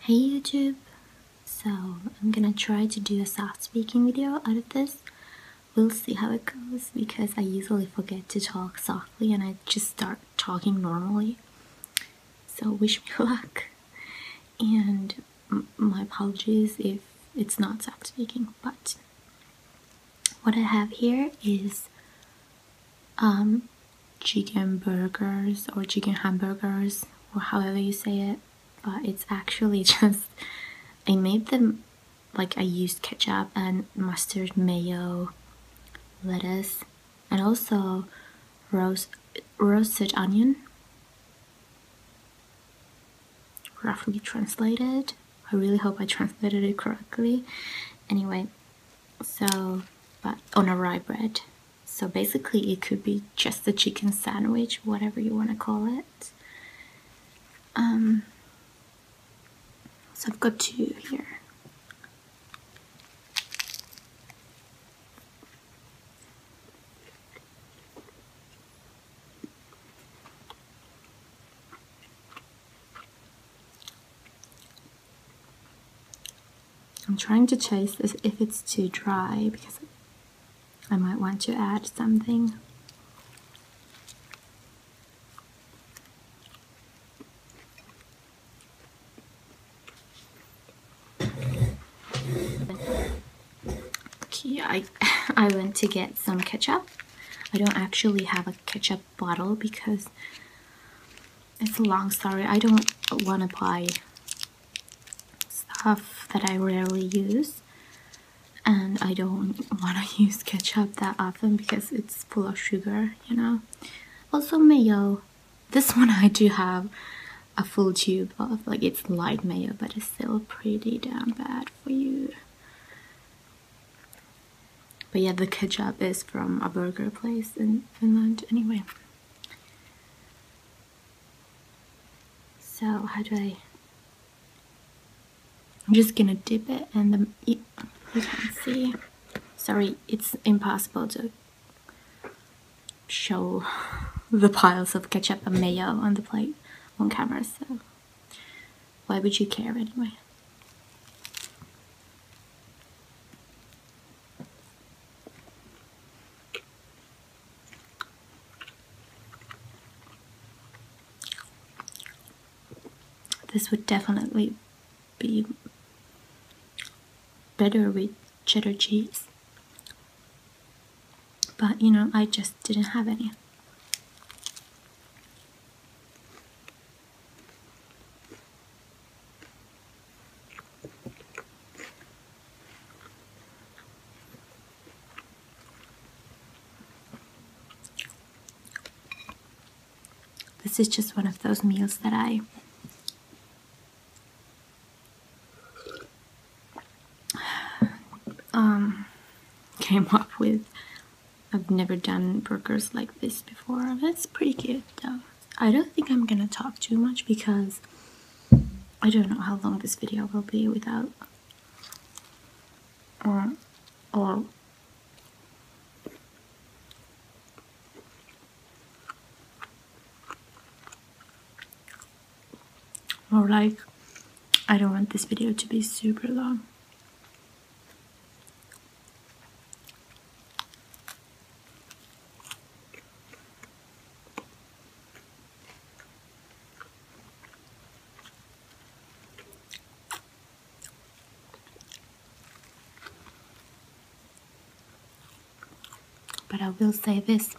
Hey YouTube! So I'm gonna try to do a soft speaking video out of this. We'll see how it goes because I usually forget to talk softly and I just start talking normally. So wish me luck and my apologies if it's not soft speaking but what I have here is um, chicken burgers or chicken hamburgers or however you say it but it's actually just I made them like I used ketchup and mustard mayo lettuce and also roast roasted onion roughly translated I really hope I translated it correctly anyway so but on a rye bread so basically, it could be just a chicken sandwich, whatever you want to call it. Um, so I've got two here. I'm trying to chase this if it's too dry because I might want to add something. Okay, I, I went to get some ketchup. I don't actually have a ketchup bottle because it's a long story. I don't want to buy stuff that I rarely use, and I don't want to use ketchup that often because it's full of sugar, you know. Also, mayo. This one I do have a full tube of, like, it's light mayo, but it's still pretty damn bad for you. But yeah, the ketchup is from a burger place in Finland anyway. So how do I? I'm just gonna dip it and the, you can see. Sorry, it's impossible to show the piles of ketchup and mayo on the plate on camera, so why would you care anyway? This would definitely be better with cheddar cheese. But you know, I just didn't have any. This is just one of those meals that I um, came up with. I've never done burgers like this before. That's pretty good though. I don't think I'm gonna talk too much because I don't know how long this video will be without or or like I don't want this video to be super long. But I will say this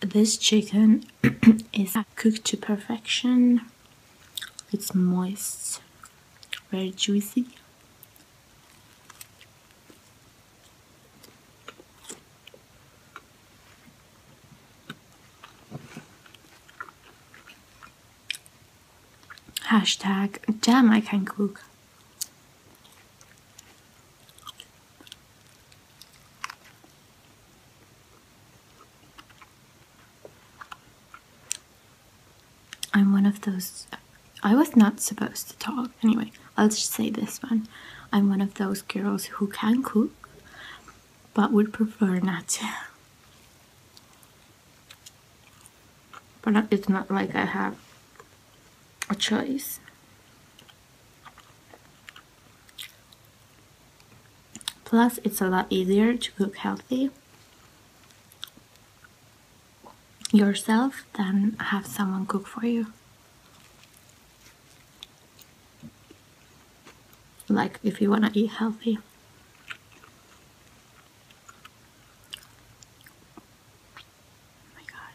this chicken is cooked to perfection it's moist, very juicy. Hashtag damn I can cook. I'm one of those. I was not supposed to talk. Anyway, I'll just say this one. I'm one of those girls who can cook but would prefer not to. But it's not like I have a choice. Plus, it's a lot easier to cook healthy yourself than have someone cook for you. Like if you want to eat healthy. Oh my God.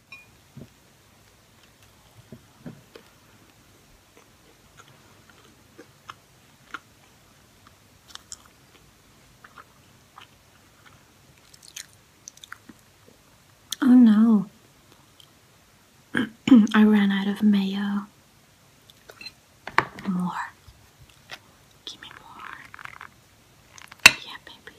Oh no, I ran out of mayo. More. Give me more. Yeah, baby.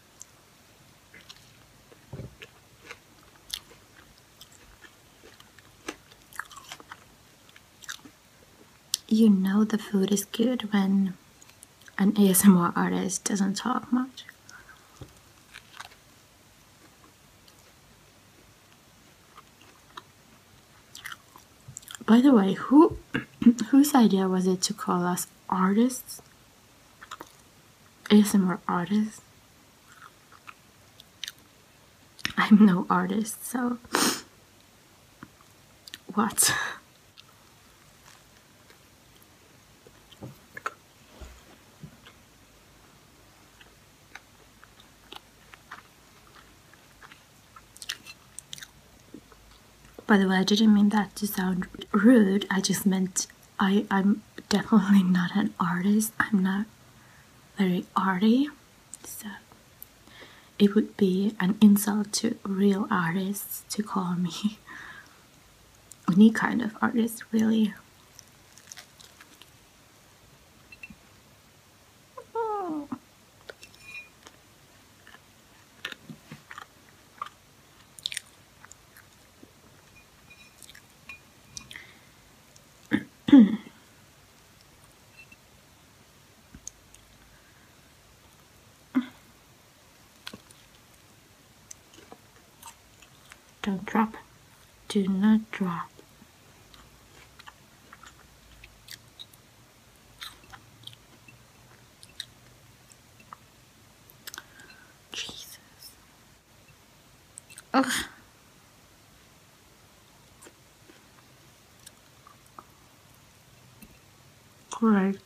You know the food is good when an ASMR artist doesn't talk much. By the way, who whose idea was it to call us artists? ASMR artist. I'm no artist, so what? By the way, I didn't mean that to sound rude, I just meant I, I'm definitely not an artist. I'm not very arty. So it would be an insult to real artists to call me any kind of artist, really. Hmm. Don't drop. Do not drop. Jesus. Ugh. All right.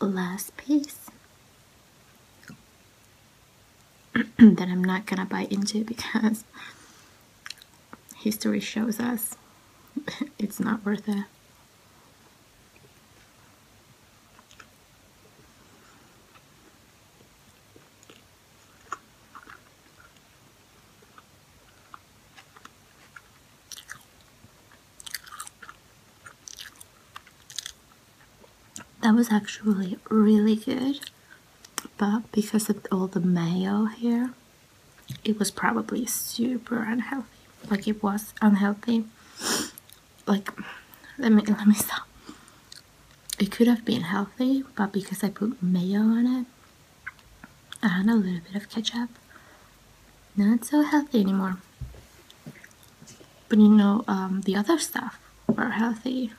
Last piece. that I'm not gonna buy into because history shows us it's not worth it. That was actually really good but because of all the mayo here, it was probably super unhealthy. Like it was unhealthy. Like, let me let me stop. It could have been healthy, but because I put mayo on it and a little bit of ketchup, not so healthy anymore. But you know, um, the other stuff were healthy,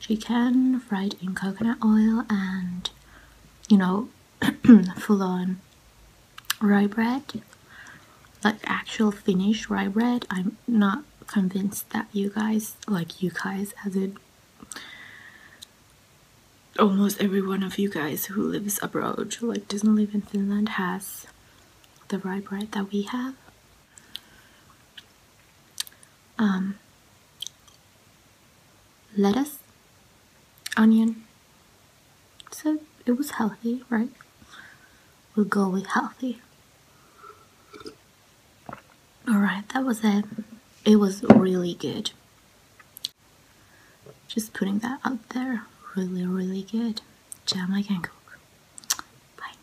she can fried in coconut oil and you know full on rye bread like actual Finnish rye bread. I'm not convinced that you guys like you guys as in almost every one of you guys who lives abroad like doesn't live in Finland has the rye bread that we have um, lettuce, onion. So it was healthy, right? We'll go with healthy. Alright, that was it. It was really good. Just putting that out there. Really, really good. Jam, I can cook. Bye.